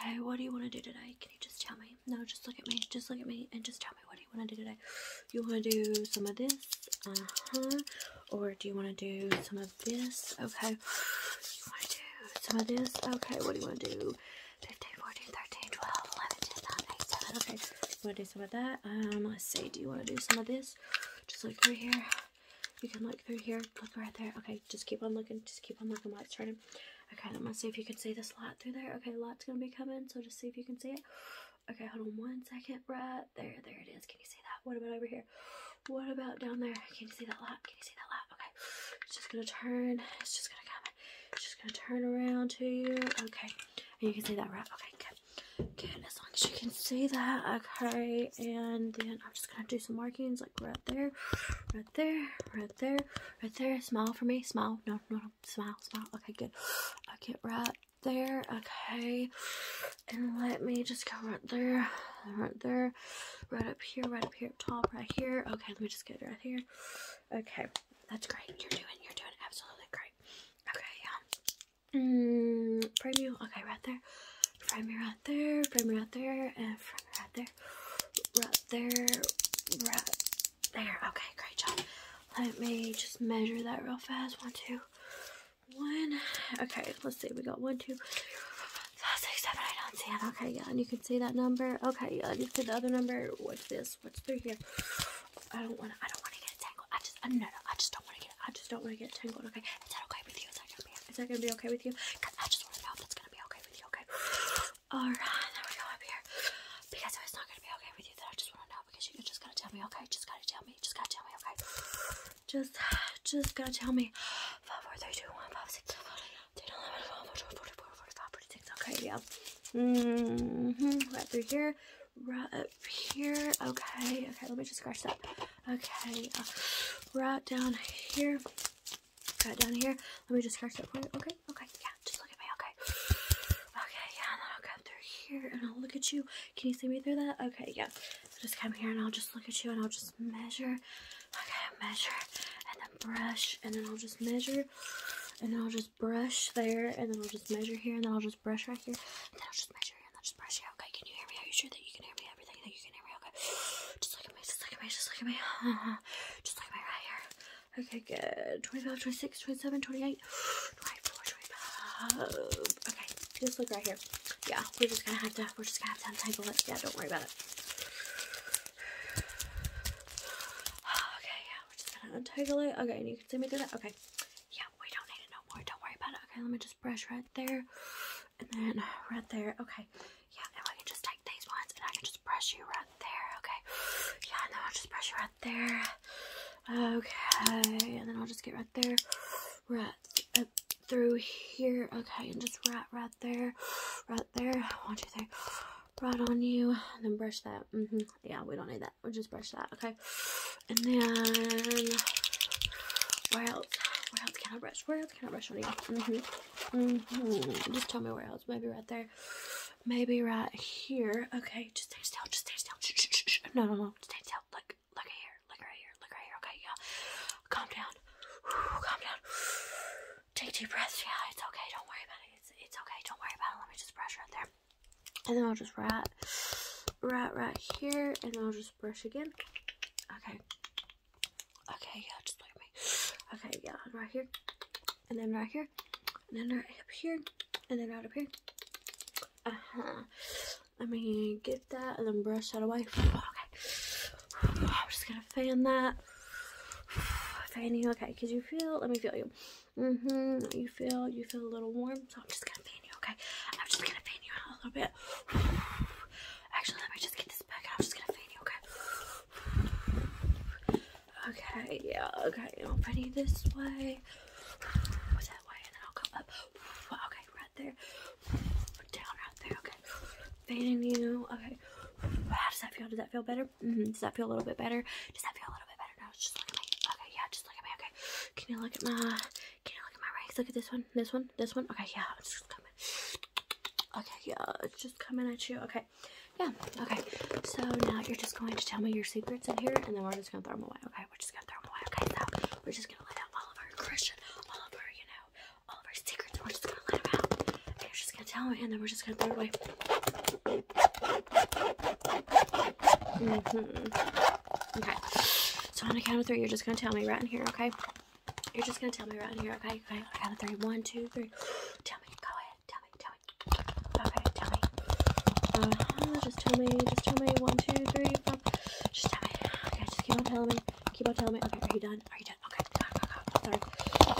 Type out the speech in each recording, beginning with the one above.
Hey, what do you want to do today? Can you just tell me? No, just look at me. Just look at me and just tell me what do you want to do today? You want to do some of this? Uh-huh. Or do you want to do some of this? Okay. You want to do some of this? Okay, what do you want to do? 15, 14, 13, 12, 11, 10, Okay, you want to do some of that? Um, let's see. Do you want to do some of this? Just look through here. You can look through here. Look right there. Okay, just keep on looking. Just keep on looking while it's turning. Okay, let me see if you can see this light through there. Okay, light's gonna be coming, so just see if you can see it. Okay, hold on one second. Right there, there it is. Can you see that? What about over here? What about down there? Can you see that light? Can you see that light? Okay, it's just gonna turn. It's just gonna come. It's just gonna turn around to you. Okay, and you can see that, right? Okay, good. Good, as long as you can see that. Okay, and then I'm just gonna do some markings like right there, right there, right there, right there. Smile for me. Smile. No, no, Smile, smile. Okay, good. Okay, right there. Okay. And let me just go right there, right there, right up here, right up here, top, right here. Okay, let me just get right here. Okay, that's great. You're doing, you're doing absolutely great. Okay, yeah. Mm, preview. Okay, right there. Primer right there, primer right there, and primer right there, right there, right there. Okay, great job. Let me just measure that real fast. One, two, one. Okay, let's see. We got one, two, three, four, five, six, seven, eight, nine, ten. Okay, yeah, and you can see that number. Okay, yeah, you see the other number. What's this? What's through here? I don't want to. I don't want to get it tangled. I just. no, no. I just don't want to get. It, I just don't want to get tangled. Okay, is that okay with you? Is that okay? Is that gonna be okay with you? Cause I just want to know if that's gonna be okay with you. Okay. All right. There we go up here. Because if it's not gonna be okay with you, then I just want to know because you're just gonna tell me. Okay. Just gotta tell me. Just gotta tell me. Okay. Just, just gotta tell me. Five, four, three, two, one, five, six, seven, eight, nine, eleven, twelve, fourteen, fourteen, fourteen, forty-five, forty-six. Okay. Yeah. Mm hmm. Right through here. Right up here. Okay. Okay. Let me just scratch that. Okay. Uh, right down here. Got down here. Let me just scratch that corner. Okay, okay, yeah, just look at me. Okay. Okay, yeah, and then I'll come through here and I'll look at you. Can you see me through that? Okay, yeah. So just come here and I'll just look at you and I'll just measure. Okay, measure and then brush and then I'll just measure and then I'll just brush there and then I'll just measure here and then I'll just brush right here and then I'll just measure here and I'll just brush here. Okay, can you hear me? Are you sure that you can hear me? everything that you can hear okay? Just look at me, just look at me, just look at me. just look at me right here. Okay, good. 25, 26, 27, 28, Okay, just look right here. Yeah, we're just gonna have to, we're just gonna have to untangle it. Yeah, don't worry about it. Okay, yeah, we're just gonna untangle it. Okay, and you can see me through that? Okay. Yeah, we don't need it no more. Don't worry about it. Okay, let me just brush right there, and then right there. Okay, yeah. Now I can just take these ones and I can just brush you right there. Okay, yeah. No. I'll just brush you right there. Okay, and then I'll just get right there, right through here. Okay, and just right, right there, right there. I want you One, two, three right on you and then brush that -hmm. yeah we don't need that we'll just brush that okay and then where else where else can i brush where else can I on you? Mm-hmm. Mm-hmm. Just tell me where else. Maybe right there. Maybe right here. Okay, just stay still. Just stay still. Shh, No, no, no. Stay still. Look, look right here. Look right here. Look right here. Okay, yeah. Calm down. Calm down. Take a deep breath. Yeah, it's okay. Don't worry about it. It's, okay. Don't worry about it. Let me just brush right there. And then I'll just right, right, right here. And then I'll just brush again. Okay. Okay, yeah, just look me. Okay, yeah, right here. And then right here. And then right up here. And then right up here. Uh-huh. Let me get that and then brush that away. Okay. I'm just gonna fan that. Fan you, okay, because you feel, let me feel you. Mm-hmm. You feel, you feel a little warm, so I'm just gonna fan you, okay? I'm just gonna fan you out a little bit. Actually, let me just get this back. I'm just gonna fade you, okay? Okay, yeah, okay. I'll fan you this way, that way, and then I'll come up. Okay, right there. Down right there, okay. fading you, okay. How does that feel? Does that feel better? Mm-hmm, does that feel a little bit better? Does that feel a little bit better? No, just look at me. Okay, yeah, just look at me, okay. Can you look at my can you look at my rags? Look at this one, this one, this one. Okay, yeah, it's just coming. Okay, yeah, it's just coming at you. Okay, yeah, okay. So now you're just going to tell me your secrets in here, and then we're just gonna throw them away. Okay, we're just gonna throw them away. Okay, so we're just gonna let out all of our aggression, all of our, you know, all of our secrets. We're just gonna let them out. And you're just gonna tell me, and then we're just gonna throw it away. Mm -hmm. Okay. So on a count of three, you're just gonna tell me right in here, okay? You're just gonna tell me right in here, okay? Okay, I count of three. One, two, three. Tell me, go ahead, tell me, tell me. Okay, tell me. Uh-huh. Just tell me, just tell me. One, two, three, four. Just tell me. Okay, just keep on telling me. Keep on telling me. Okay, are you done? Are you done? Okay, go, go, go.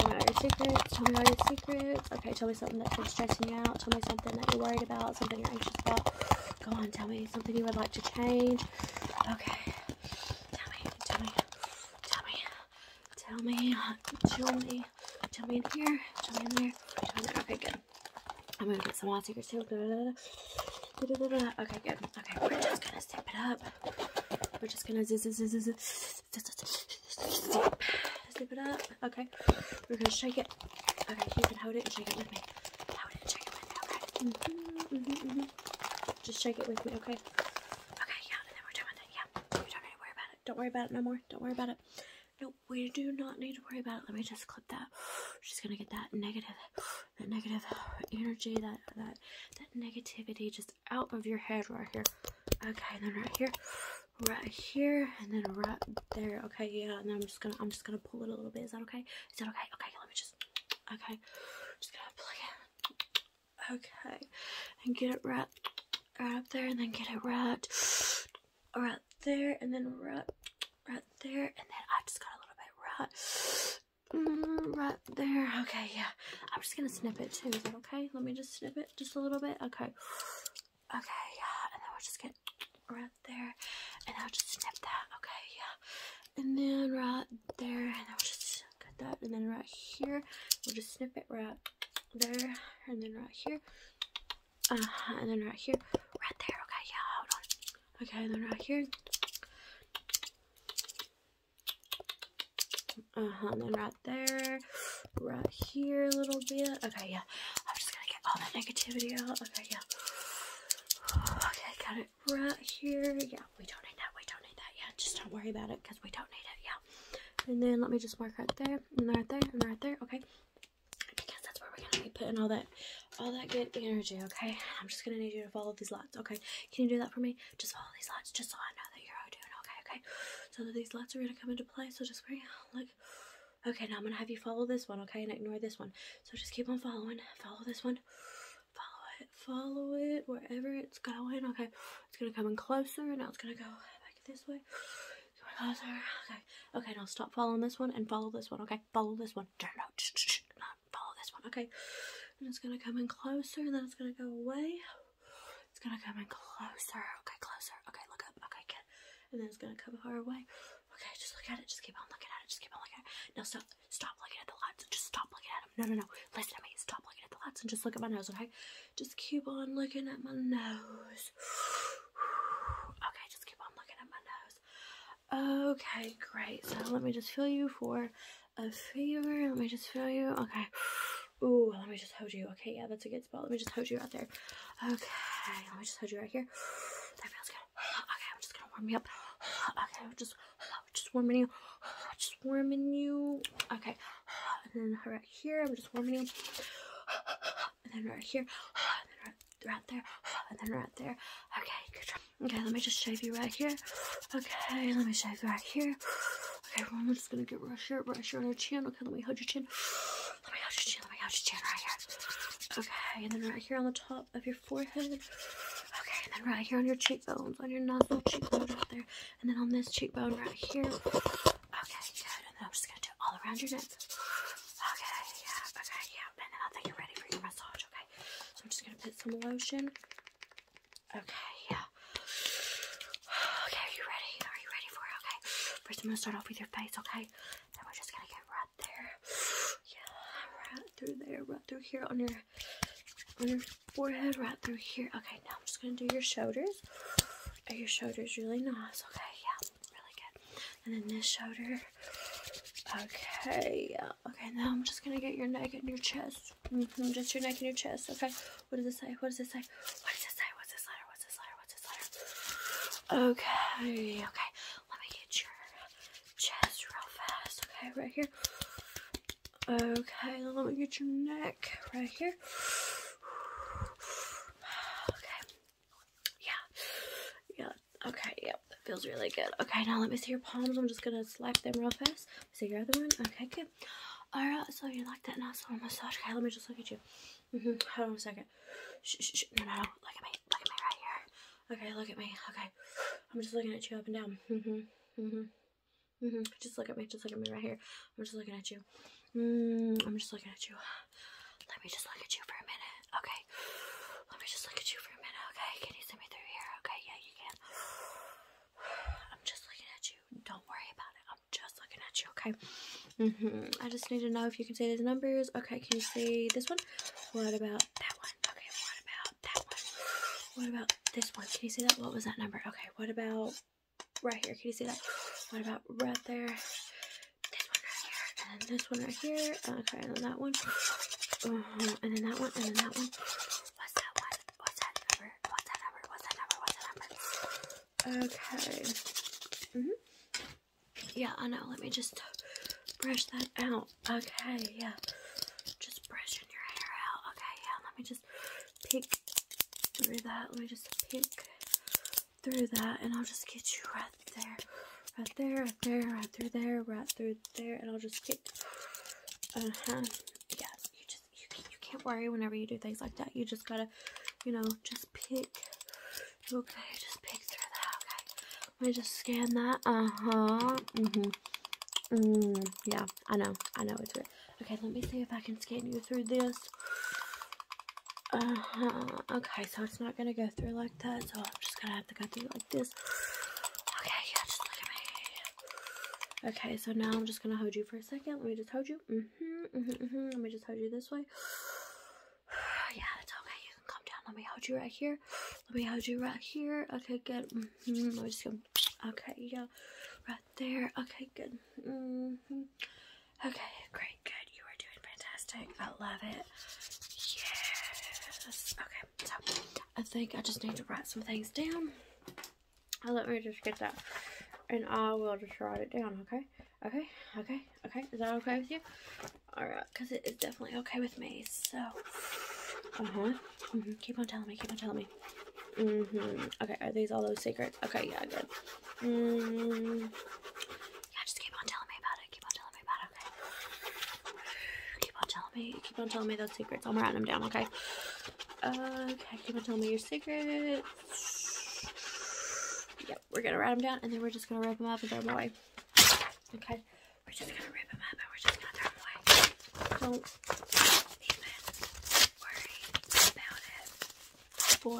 Sorry. Tell me all your secrets. Tell me all your secrets. Okay, tell me something that's been stressing you out. Tell me something that you're worried about, something you're anxious about. Go on, tell me something you would like to change. Okay. Tell me, tell me, tell me, tell me, tell me, tell me in here, tell me in there, tell me in there. Okay, good. I'm gonna get some wild secrets too. Okay, good. Okay, we're just gonna zip it up. We're just gonna zip, zip, zip, zip, zip, zip, zip, zip, zip it up. Okay. We're gonna shake it. Okay, you can hold it shake it with me. Hold it shake it with me, okay? Mm-hmm, mm-hmm, mm-hmm. Just shake it with me, okay? Okay, yeah, and then we're done with it, yeah. You don't need to worry about it. Don't worry about it no more. Don't worry about it. No, we do not need to worry about it. Let me just clip that. She's gonna get that negative, that negative energy, that that that negativity just out of your head right here. Okay, and then right here, right here, and then right there. Okay, yeah, and then I'm just gonna I'm just gonna gonna pull it a little bit. Is that okay? Is that okay? Okay, let me just. Okay, just gonna plug it. Okay, and get it right, right up there, and then get it right, right there, and then right, right there, and then I just got a little bit right. Mm, right there. Okay, yeah. I'm just gonna snip it too. Is that okay? Let me just snip it just a little bit. Okay. Okay, yeah, and then we'll just get right there, and I'll just snip that. Okay, yeah, and then right there, and I'll just cut that, and then right here, we'll just snip it right there, and then right here, uh, -huh, and then right here, right there. Okay, yeah, hold on. Okay, then right here. Uh huh. then right there, right here a little bit. Okay, yeah. I'm just gonna get all that negativity out. Okay, yeah. Okay, got it right here. Yeah, we don't need that. We don't need that. Yeah, just don't worry about it because we don't need it. Yeah. And then let me just mark right there and right there and right there. Okay. Because that's where we're gonna be putting all that all that good energy, okay? I'm just gonna need you to follow these lines. okay? Can you do that for me? Just follow these lines, just so I know that you're doing okay, okay? So these lines are gonna come into play, so just bring like Okay, now I'm gonna have you follow this one, okay, and ignore this one. So just keep on following, follow this one, follow it, follow it wherever it's going, okay. It's gonna come in closer, now it's gonna go back this way. Closer. Okay, okay, now stop following this one and follow this one, okay? Follow this one. Turn out. Not follow this one, okay? And it's gonna come in closer, and then it's gonna go away. It's gonna come in closer. Okay, closer. Okay, look up. Okay, get and then it's gonna come her way. Okay, just look at it. Just keep on looking at it. Just keep on looking at it. No, stop. Stop looking at the lights. Just stop looking at them. No, no, no. Listen to me. Stop looking at the lights and just look at my nose. Okay, just keep on looking at my nose. Okay, just keep on looking at my nose. Okay, great. So let me just feel you for a fever. Let me just feel you. Okay. Ooh, let me just hold you. Okay, yeah, that's a good spot. Let me just hold you right there. Okay, let me just hold you right here. That feels good. Okay, I'm just gonna warm me up. Okay, just just warming you. Just warming you. Okay, and then right here, I'm just warming you. And then right here, and then right, there, and then right there. Okay, good Okay, let me just shave you right here. Okay, let me shave right here. Okay, well, I'm just gonna get right here, right here on your chin. Okay, let me hold your chin. Let me hold your chin. Let me hold your chin right here. Okay, and then right here on the top of your forehead. Okay, and then right here on your cheekbones, on your nostril cheekbone right there, and then on this cheekbone right here. Okay, good. And then I'm just gonna do it all around your neck. Okay, yeah, okay, yeah. And then I think you're ready for your massage. Okay, so I'm just gonna put some lotion. Okay, yeah. Okay, are you ready? Are you ready for Okay. First, I'm gonna start off with your face, okay? And we're just gonna get right there. Yeah, right through there, right through here on your on your forehead, right through here. Okay, now I'm just gonna do your shoulders. Are your shoulders really nice? Okay, yeah, really good. And then this shoulder. Okay, yeah. Okay, now I'm just gonna get your neck and your chest. Mm-hmm, just your neck and your chest. Okay. What does it say? What does it say? What does it say? What's this letter? What's this letter? What's Okay, okay. Let me get your chest real fast. Okay, right here. Okay, let me get your neck right here. Okay. Yeah. Yeah. Okay, yep. feels really good. Okay, now let me see your palms. I'm just gonna slap them real fast. See your other one? Okay, good. Alright, so you like that nice little massage? Okay, let me just look at you. Mm-hmm. Hold on a second. No, no, Look at me. Look at me right here. Okay, look at me. Okay. I'm just looking at you up and down. hmm hmm hmm Just look at me. Just look at me right here. I'm just looking at you. Mm, I'm just looking at you. Let me just look at you for a minute. Okay. Let me just look at you for a minute. Okay. Can you see me through here? Okay. Yeah, you can. I'm just looking at you. Don't worry about it just looking at you, okay? Mm-hmm. I just need to know if you can see those numbers. Okay, can you see this one? What about that one? Okay, what about that one? What about this one? Can you see that? What was that number? Okay, what about right here? Can you see that? What about right there? This one right here, and this one right here. Okay, and then that one. Uh-huh, and then that one, and then that one. What's that one? What's that number? What's that number? What's that number? What's that number? Okay. -hmm. Yeah, I know. Let me just brush that out. Okay, yeah. Just brushing your hair out. Okay, yeah. Let me just pick through that. Let me just pick through that, and I'll just get you right there. Right there, right there, right through there, right through there, and I'll just pick. Uh huh. Yeah, you can't, worry whenever you do things like that. You just gotta, you know, just pick. Okay, just pick through that. Okay, let me just scan that. Uh huh. Mhm. Mm Mm, yeah, I know. I know it's weird. Okay, let me see if I can scan you through this. Uh-huh. Okay, so it's not going to go through like that, so I'm just going to have to go through like this. Okay, yeah, just look at me. Okay, so now I'm just gonna hold you for a second. Let me just hold you. Mm-hmm, mm-hmm, mm-hmm. Let me just hold you this way. yeah, that's okay. You can come down. Let me hold you right here. Let me hold you right here. Okay, good. Mm Let me just go. Okay, yeah, right there. Okay, good. Okay, great, good. You are doing fantastic. I love it. Yes. Okay, so I think I just need to write some things down. Let me just get that. And I will just write it down, okay? Okay, okay, okay. Is that okay with you? Alright, because it is definitely okay with me. So, uh-huh. Mm -hmm. Keep on telling me, keep on telling me. Mm-hmm. Okay, are these all those secrets? Okay, yeah, good. Mm-hmm. Yeah, just keep on telling me about it. Keep on telling me about it, okay? Keep on telling me, Keep on telling me those secrets. I'm writing them down, okay? Okay, keep on telling me your secrets. Yep, we're gonna write them down and then we're just gonna rip them up and throw them away. Okay, we're just gonna rip them up and we're just gonna throw them away. Don't worry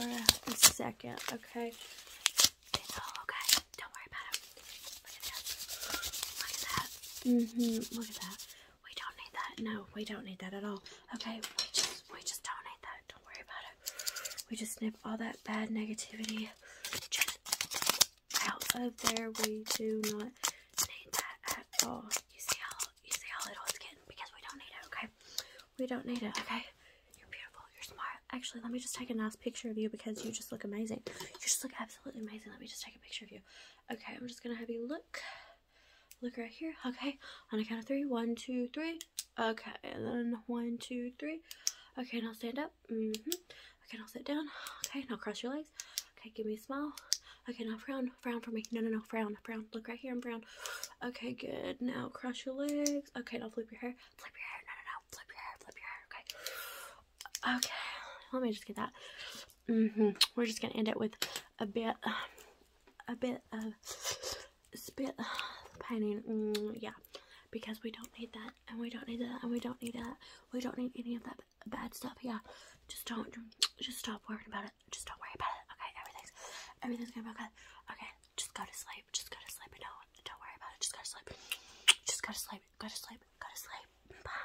about it for a second, okay? okay. Don't worry about it. Look at that. Look at that. hmm Look at that. We don't need that. No, we don't need that at all. Okay, we just we just don't need that. Don't worry about it. We just snip all that bad negativity out of there. We do not need that at all. You see how you see how little it's getting because we don't need it, okay? We don't need it, okay? You're beautiful, you're smart. Actually, let me just take a nice picture of you because you just look amazing. You just look absolutely amazing. Let me just take a picture of you. Okay, I'm just gonna have you look. Look right here. Okay. On a count of three: one, two, three. Okay. And then one, two, three. Okay. Now stand up. Mm-hmm. Okay. Now sit down. Okay. Now cross your legs. Okay. Give me a smile. Okay. Now frown. Frown for me. No, no, no. Frown. Frown. Look right here I'm frown. Okay. Good. Now cross your legs. Okay. Now flip your hair. Flip your hair. No, no, no. Flip your hair. Flip your hair. Okay. Okay. Let me just get that. Mm -hmm. We're just gonna end it with a bit, a bit of spit pining. Mm, yeah, because we don't need that, and we don't need that, and we don't need that. We don't need any of that bad stuff. Yeah, just don't, just stop worrying about it. Just don't worry about it. Okay, everything's, everything's gonna be okay. Okay, just go to sleep. Just go to sleep. And don't, worry about it. Just go to sleep. Just go to sleep. Go to sleep. Go to sleep.